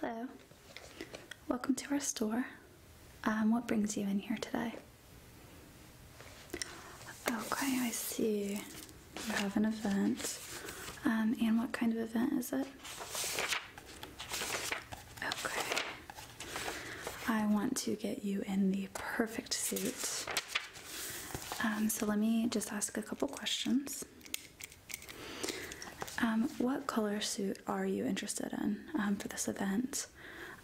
Hello, welcome to our store. Um, what brings you in here today? Okay, I see you have an event. Um, and what kind of event is it? Okay. I want to get you in the perfect suit. Um, so let me just ask a couple questions. Um, what color suit are you interested in um, for this event?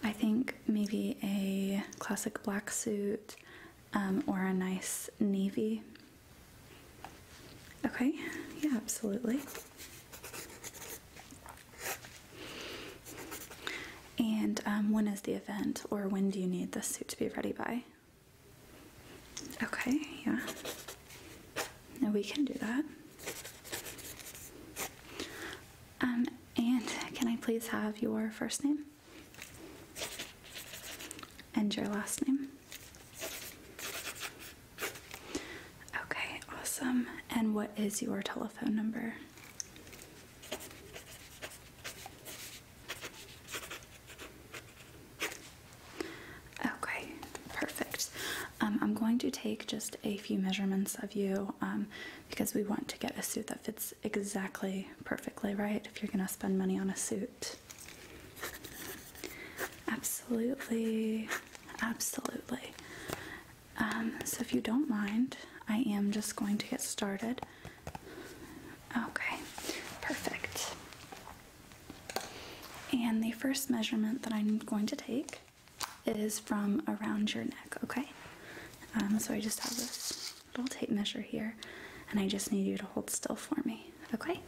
I think maybe a classic black suit um, or a nice navy. Okay, yeah, absolutely. And when is the event, or when do you need this suit to be ready by? Okay, yeah. No, we can do that. Um, and can I please have your first name? And your last name? Okay, awesome. And what is your telephone number? Okay, perfect. Um, I'm going to take just a few measurements of you um, because we want to get a suit that fits exactly perfectly, right? If you're going to spend money on a suit. Absolutely, absolutely. Um, so, if you don't mind, I am just going to get started. Okay, perfect. And the first measurement that I'm going to take is from around your neck, okay? Um, so I just have this little tape measure here, and I just need you to hold still for me, okay? Okay.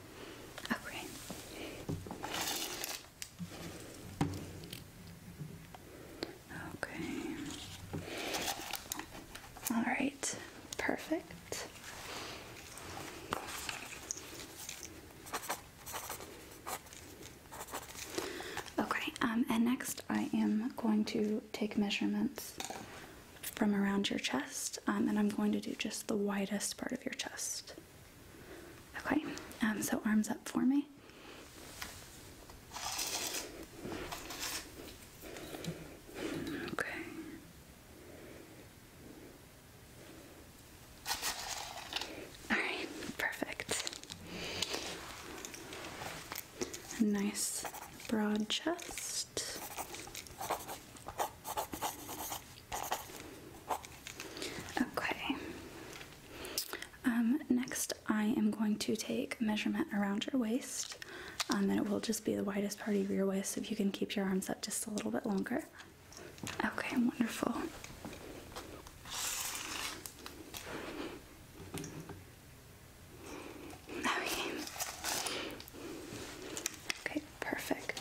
Okay. All right, perfect. Okay, um, and next I am going to take measurements from around your chest, um, and I'm going to do just the widest part of your chest. Okay, um, so arms up for me. Okay. Alright, perfect. A nice broad chest. Okay. Um, next, I am going to take measurement around your waist. Um, and then it will just be the widest part of your waist so you can keep your arms up just a little bit longer. Okay, wonderful. Okay. Okay, perfect.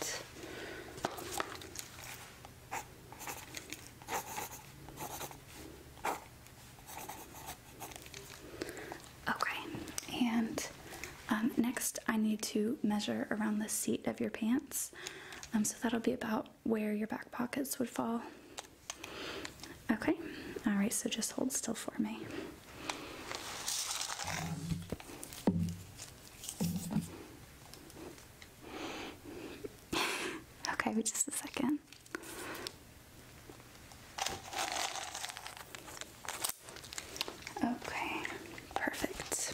Okay, and um, next I need to measure around the seat of your pants. Um, so that'll be about where your back pockets would fall. Okay, all right, so just hold still for me. okay, wait just a second. Okay, perfect.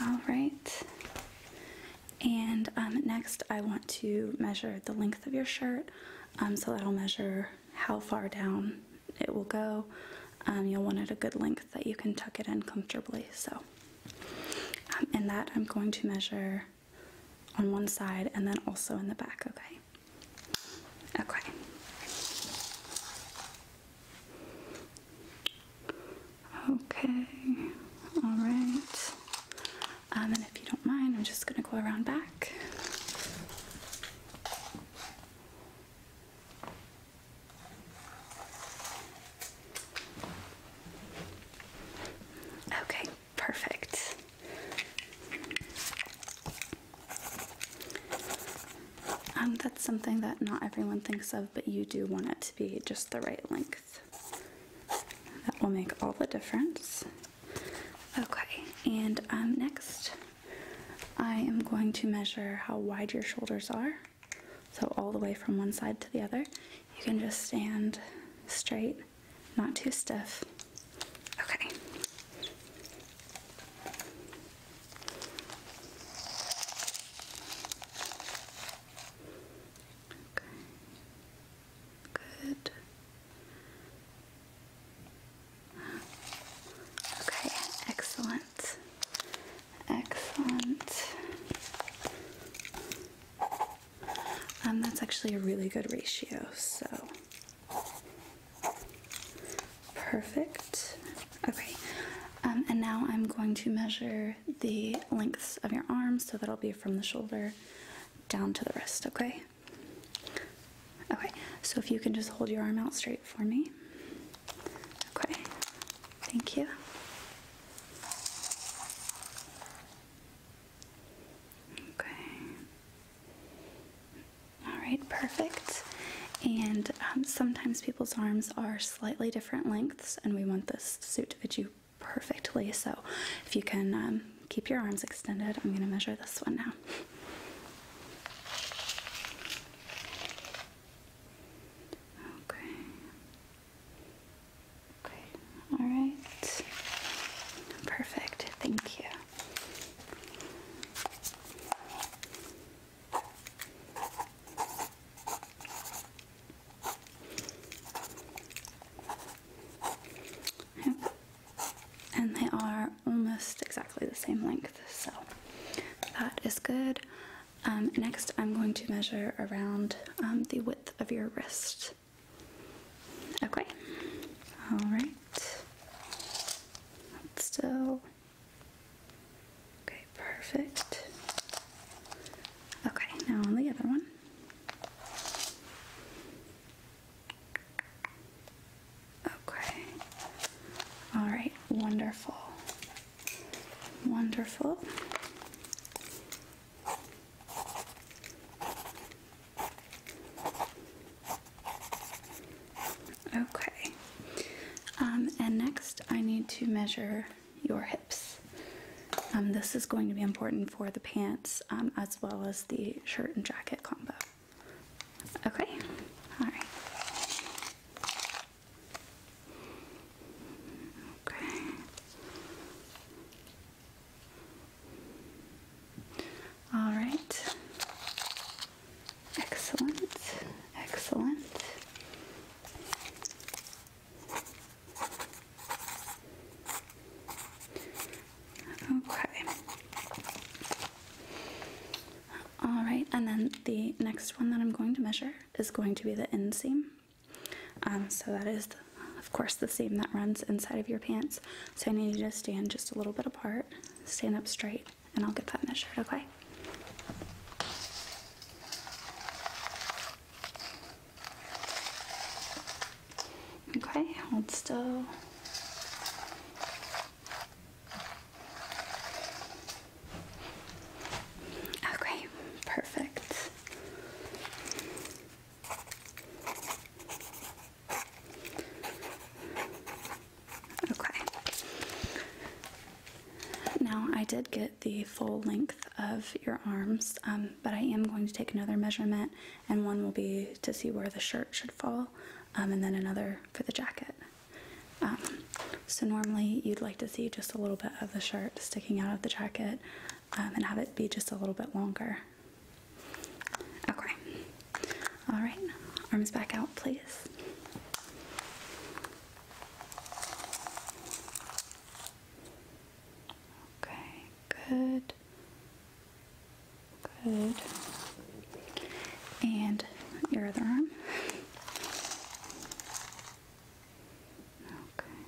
All right. And um, next, I want to measure the length of your shirt. Um, so that'll measure how far down it will go. Um, you'll want it a good length that you can tuck it in comfortably. So. Um, and that I'm going to measure on one side and then also in the back, okay? Okay. Okay, all right. Um, and if you don't mind, I'm just going to go around back. Okay, perfect. Um, that's something that not everyone thinks of, but you do want it to be just the right length. That will make all the difference. Okay, and um, next I am going to measure how wide your shoulders are. So all the way from one side to the other. You can just stand straight, not too stiff. Okay. Good. Okay, excellent. Excellent. Um, that's actually a really good ratio, so perfect. Okay, um, and now I'm going to measure the lengths of your arms, so that'll be from the shoulder down to the wrist, okay? Okay, so if you can just hold your arm out straight for me. Okay, thank you. Okay. All right, perfect. And um, sometimes people's arms are slightly different lengths, and we want this suit to fit you perfectly. So if you can um, keep your arms extended, I'm going to measure this one now. Okay. Okay, all right. Perfect, thank you. And they are almost exactly the same length, so that is good. Um, next, I'm going to measure around um, the width of your wrist. Okay. All right. Still. Okay, perfect. Okay, now on the other one. Okay. All right, wonderful. Wonderful. Okay. Um, and next, I need to measure your hips. Um, this is going to be important for the pants um, as well as the shirt and jacket combo. Okay? Alright. Okay. All right. Excellent. Excellent. Okay. All right, and then the next one that I'm going to measure is going to be the inseam. Um, so that is, of course, the seam that runs inside of your pants. So I need you to stand just a little bit apart, stand up straight, and I'll get that measured, okay? Okay, hold still. Okay, perfect. Okay. Now I did get the full length of your arms, um, but I am going to take another measurement, and one will be to see where the shirt should fall, um, and then another for the jacket. Um, so normally you'd like to see just a little bit of the shirt sticking out of the jacket um, and have it be just a little bit longer. Okay. All right. Arms back out, please. Okay. Good. Good. And your other arm. Okay.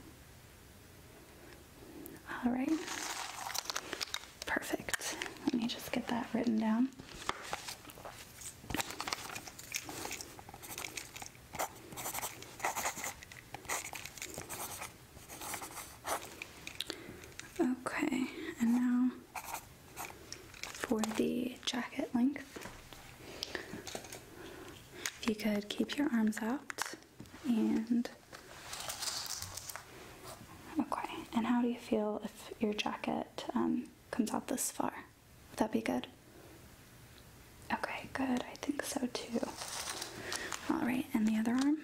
All right. Perfect. Let me just get that written down. Okay, and now for the jacket length. If you could keep your arms out and okay. And how do you feel if your jacket um, comes out this far? Would that be good? Okay, good. I think so too. All right, and the other arm.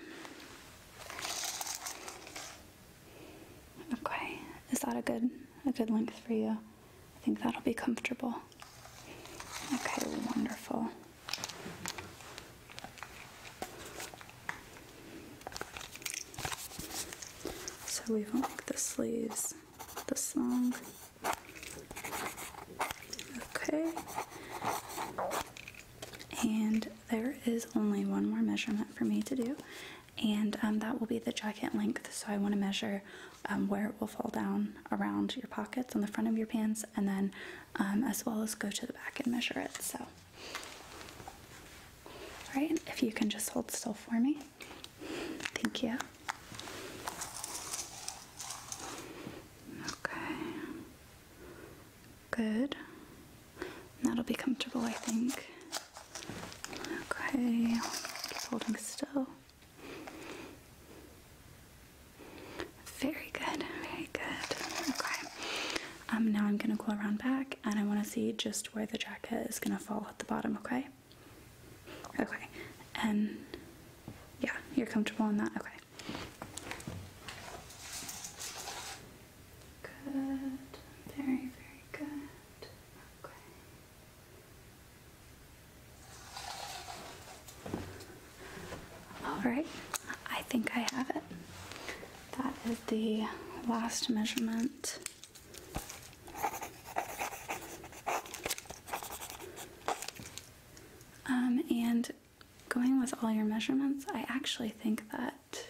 Okay, is that a good a good length for you? I think that'll be comfortable. Okay, wonderful. So we have not the sleeves this long. Okay. And there is only one more measurement for me to do, and um, that will be the jacket length. So I want to measure um, where it will fall down around your pockets on the front of your pants and then um, as well as go to the back and measure it so right. if you can just hold still for me thank you okay good that'll be comfortable i think okay keep holding still very good, very good. Okay. Um, now I'm gonna go around back and I wanna see just where the jacket is gonna fall at the bottom, okay? Okay. And yeah, you're comfortable in that? Okay. Good. Very, very good. Okay. Alright, I think I have it. That is the last measurement. Um, and going with all your measurements, I actually think that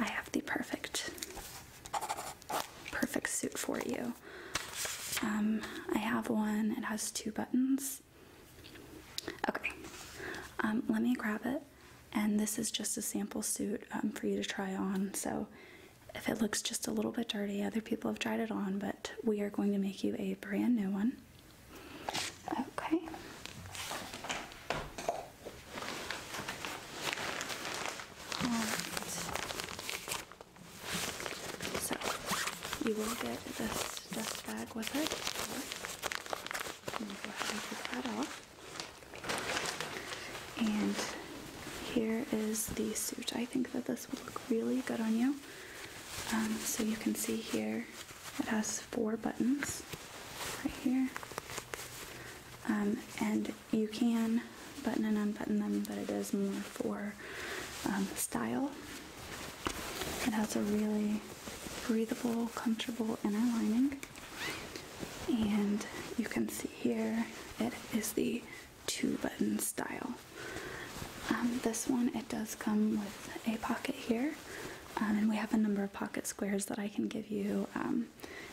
I have the perfect perfect suit for you. Um, I have one, it has two buttons. Okay, um, let me grab it. And this is just a sample suit um, for you to try on. So if it looks just a little bit dirty, other people have tried it on, but we are going to make you a brand new one. Okay. So you will get this dust bag with it. go ahead and take that off. And here is the suit. I think that this would look really good on you. Um, so you can see here, it has four buttons right here. Um, and you can button and unbutton them, but it is more for um, style. It has a really breathable, comfortable inner lining. And you can see here it is the two button style. Um, this one, it does come with a pocket here. Um, and we have a number of pocket squares that I can give you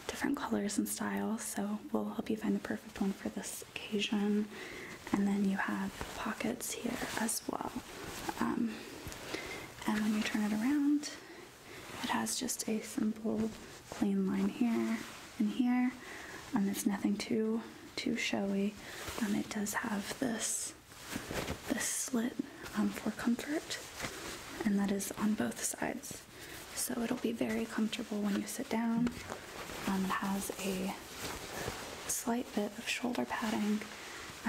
different colors and styles, so we'll help you find the perfect one for this occasion, and then you have pockets here as well. Um, and when you turn it around, it has just a simple clean line here and here. and it's nothing too too showy. Um, it does have this this slit um, for comfort, and that is on both sides. So it'll be very comfortable when you sit down. Um, it has a slight bit of shoulder padding,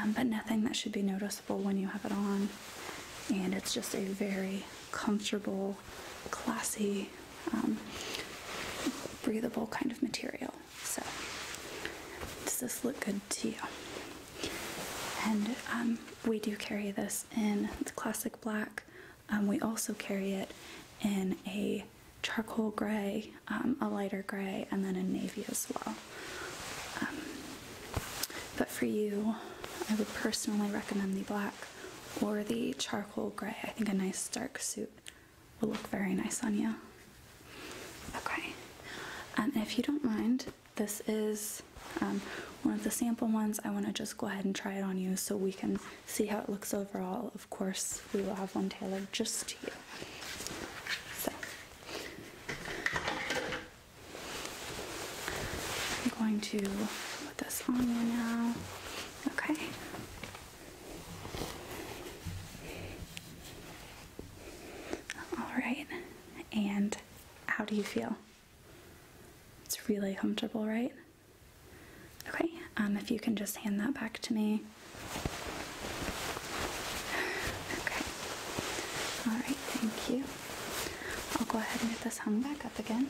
um, but nothing that should be noticeable when you have it on. And it's just a very comfortable, classy, um, breathable kind of material. So, does this look good to you? And we do carry this in classic black, um, we also carry it in a charcoal gray, um, a lighter gray, and then a navy as well. Um, but for you, I would personally recommend the black or the charcoal gray. I think a nice dark suit will look very nice on you. Okay, and if you don't mind, this is one of the sample ones. I want to just go ahead and try it on you so we can see how it looks overall. Of course, we will have one tailored just to you. So, I'm going to put this on you now. Okay. All right. And how do you feel? It's really comfortable, right? Okay, um, if you can just hand that back to me. Okay. All right, thank you. I'll go ahead and get this hung back up again.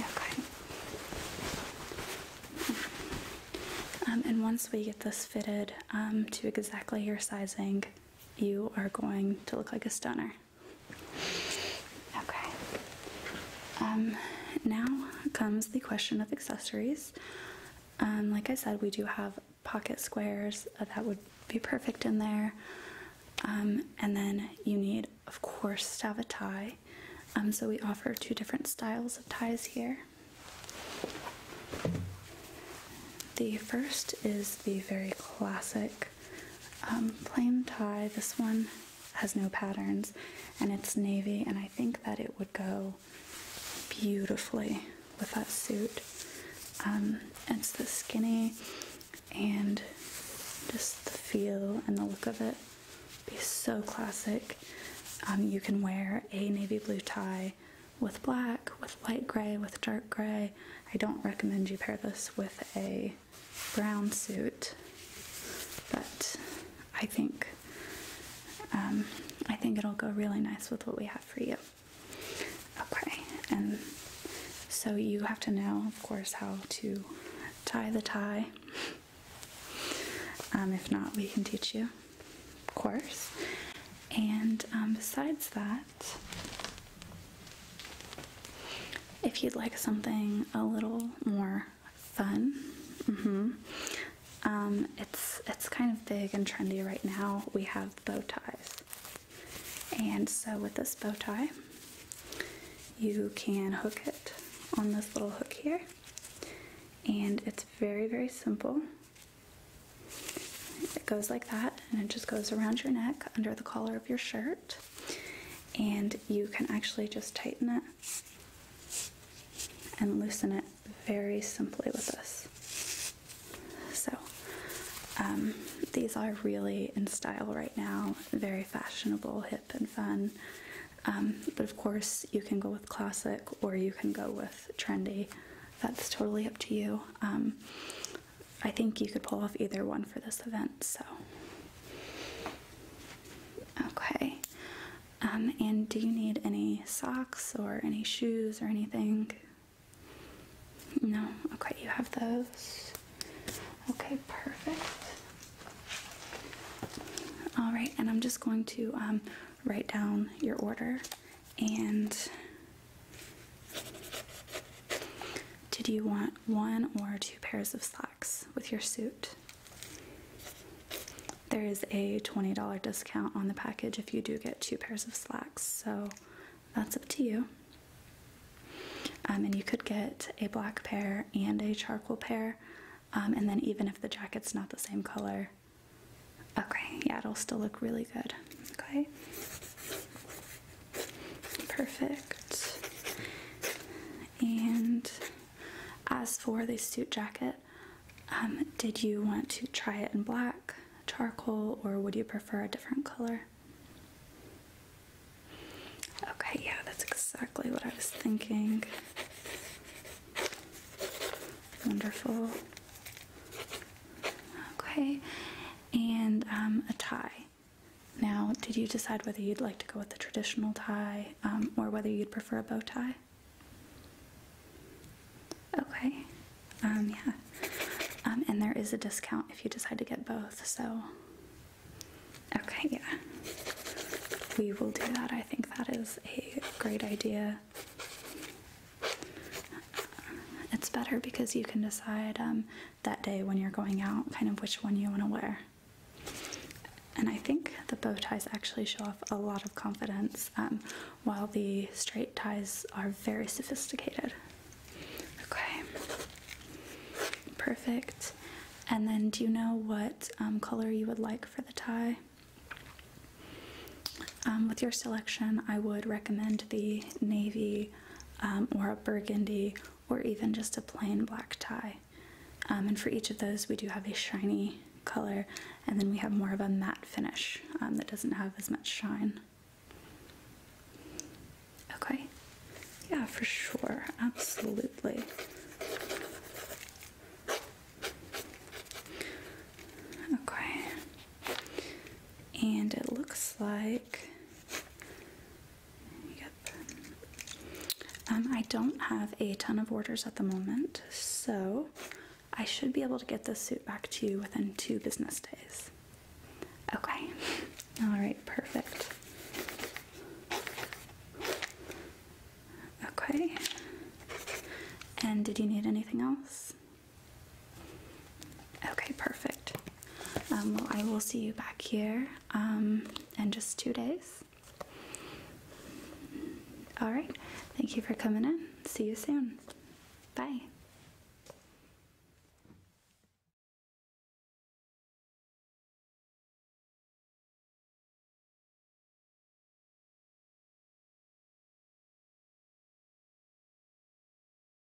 Okay. Um, and once we get this fitted um, to exactly your sizing, you are going to look like a stunner. Okay. Um, now comes the question of accessories. Um, like I said, we do have pocket squares uh, that would be perfect in there. Um, and then you need, of course, to have a tie. Um, so we offer two different styles of ties here. The first is the very classic um, plain tie. This one has no patterns and it's navy, and I think that it would go beautifully with that suit. Um, it's the skinny and just the feel and the look of it be so classic. Um, you can wear a navy blue tie with black, with light gray, with dark gray. I don't recommend you pair this with a brown suit, but I think um, I think it'll go really nice with what we have for you. Okay, and so you have to know, of course, how to tie the tie. Um, if not, we can teach you, of course. And um, besides that, if you'd like something a little more fun, mm-hmm. um, it's it's kind of big and trendy right now. We have bow ties, and so with this bow tie, you can hook it on this little hook here, and it's very very simple. It goes like that, and it just goes around your neck under the collar of your shirt and you can actually just tighten it and loosen it very simply with this. So, um, these are really in style right now, very fashionable, hip, and fun. Um, but of course, you can go with classic or you can go with trendy. That's totally up to you. Um, I think you could pull off either one for this event, so. Okay. Um, and do you need any socks or any shoes or anything? No? Okay, you have those. Okay, perfect. All right, and I'm just going to um, write down your order and did you want one or two pairs of slacks with your suit? There is a $20 discount on the package if you do get two pairs of slacks, so that's up to you. Um, and you could get a black pair and a charcoal pair, um, and then even if the jacket's not the same color, okay, yeah, it'll still look really good. Okay. Perfect. And as for the suit jacket, um, did you want to try it in black, charcoal, or would you prefer a different color? Okay, yeah, that's exactly what I was thinking. Wonderful. Okay, and um, a tie. Now, did you decide whether you'd like to go with the traditional tie um, or whether you'd prefer a bow tie? Okay, um, yeah. Um, and there is a discount if you decide to get both, so. Okay, yeah. We will do that. I think that is a great idea. It's better because you can decide that day when you're going out, kind of which one you want to wear. And I think the bow ties actually show off a lot of confidence, um, while the straight ties are very sophisticated. Okay, perfect. And then, do you know what um, color you would like for the tie? Um, with your selection, I would recommend the navy um, or a burgundy, or even just a plain black tie. Um, and for each of those, we do have a shiny color, and then we have more of a matte finish um, that doesn't have as much shine. Okay, yeah, for sure, absolutely. Okay, and it looks like Yep. Um, I don't have a ton of orders at the moment, so I should be able to get this suit back to you within two business days. Okay. All right, perfect. Okay. And did you need anything else? Okay, perfect. Um, I will see you back here um, in just two days. All right. Thank you for coming in. See you soon. Bye.